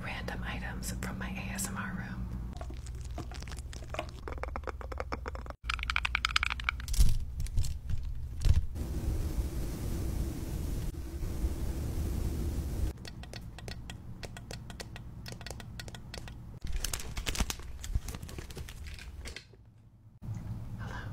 Random items from my ASMR room. Hello.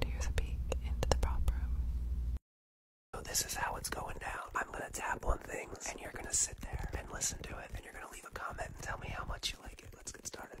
And here's a peek into the prop room. So this is how it's going down. I'm gonna tap on things, and you're gonna sit there and listen to it, and you're gonna leave a comment and tell me how much you like like it. Let's get started.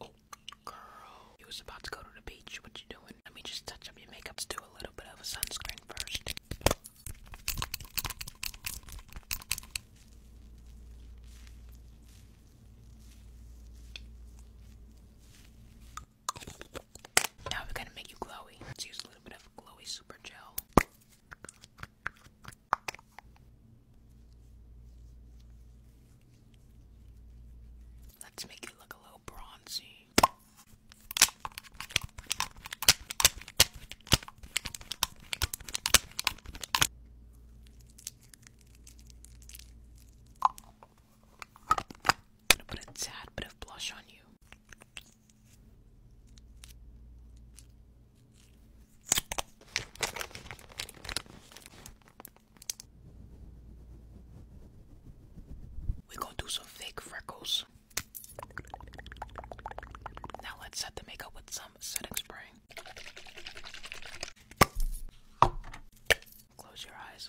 Oh, girl. You was about to go to the beach. What you doing? Let me just touch up your makeup. Let's do a little bit of sunscreen first. Now we're gonna make you glowy. Let's use a little bit of glowy super gel. Let's make it look a little bronzy. gonna put a tad bit of blush on you. We're gonna do some fake freckles. Now let's set the makeup with some setting spray. Close your eyes.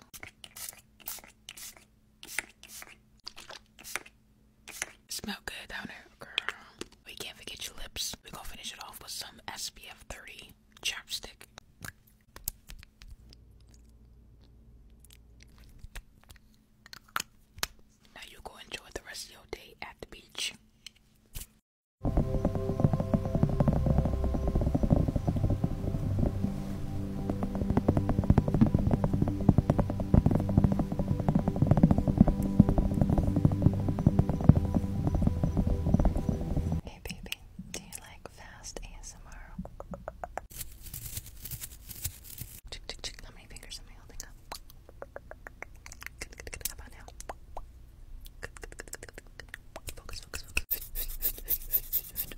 Smell good, down here, girl? We can't forget your lips. We're gonna finish it off with some SPF 30 chapstick. Now you go enjoy the rest of your day at the beach. Hey baby, do you like fast ASMR? How many fingers am I holding up? How about now? Focus, focus, focus.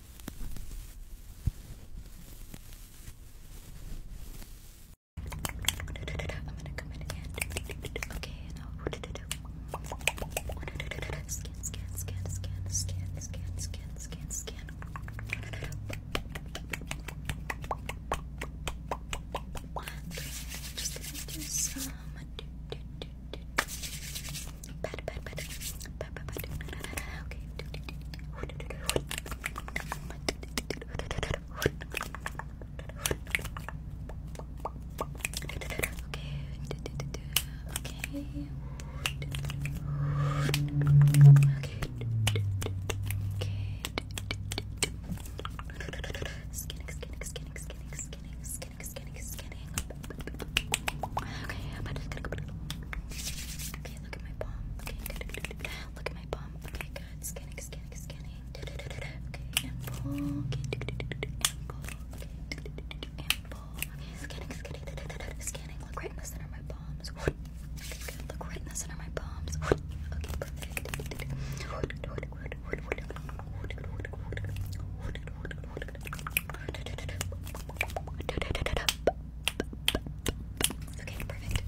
I'm gonna come in again. Okay, now scan, scan, scan, scan, scan, scan, scan, scan, scan. Just gonna do some pat, pat, pat skinning, skinning, skinning, skinning, skinning, skinning, skinning, skinning. Okay, I'm about to Okay, Okay, look at my palm. Okay, good. Look at my palm. Okay, good. Scanning, scanning, scanning. Okay, and pull. Okay, and pull. Okay, and pull. Okay, scanning, scanning, scanning. Look right in the center of my palms. Okay, good. Look right in the center of my palms. Okay, perfect. Okay, perfect. Good.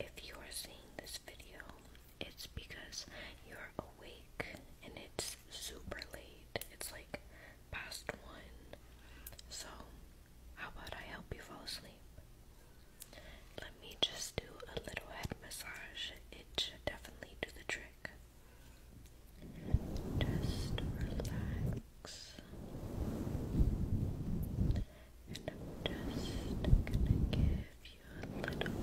If you are seeing this video, it's because you're awake and it's super late. It's like past one. So, how about I help you fall asleep? Let me just do a little head massage. It should definitely do the trick. Just relax. And I'm just gonna give you a little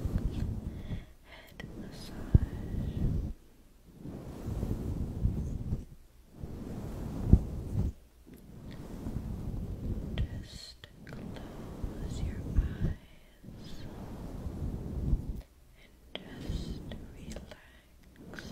head massage. Just close your eyes and just relax.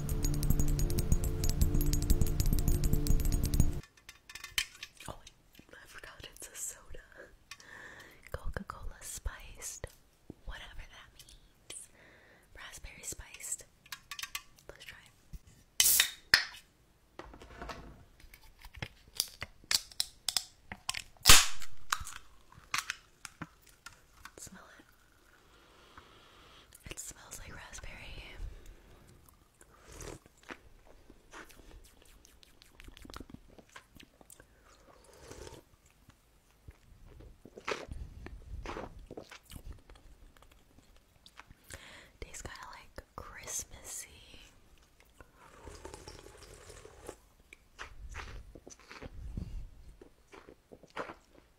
Oh, I forgot it's a soda. Coca-Cola spiced, whatever that means. Raspberry spiced. Let's try it. Smell it. It smells like raspberry. Tastes kind of like Christmassy.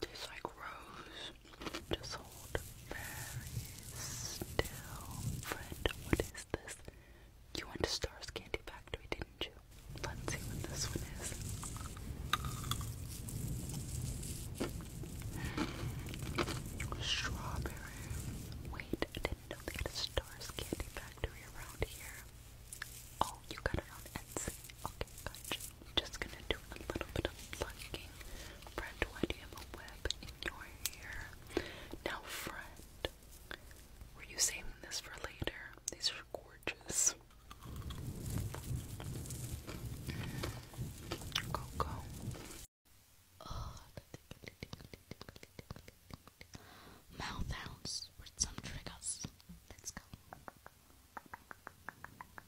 Tastes like rose. Just hold very still. Friend, what is this? You went to Star's Candy Factory, didn't you? Let's see what this one is. Strawberry. Wait, I didn't know they Star's Candy Factory around here. Oh, you got it on Etsy. Okay, gotcha. I'm just gonna do a little bit of fucking, Fred, why do you have a web in your hair? Now, Fred, were you saving this for later? These are gorgeous. Go, go. Mouth hounds with some triggers. Let's go.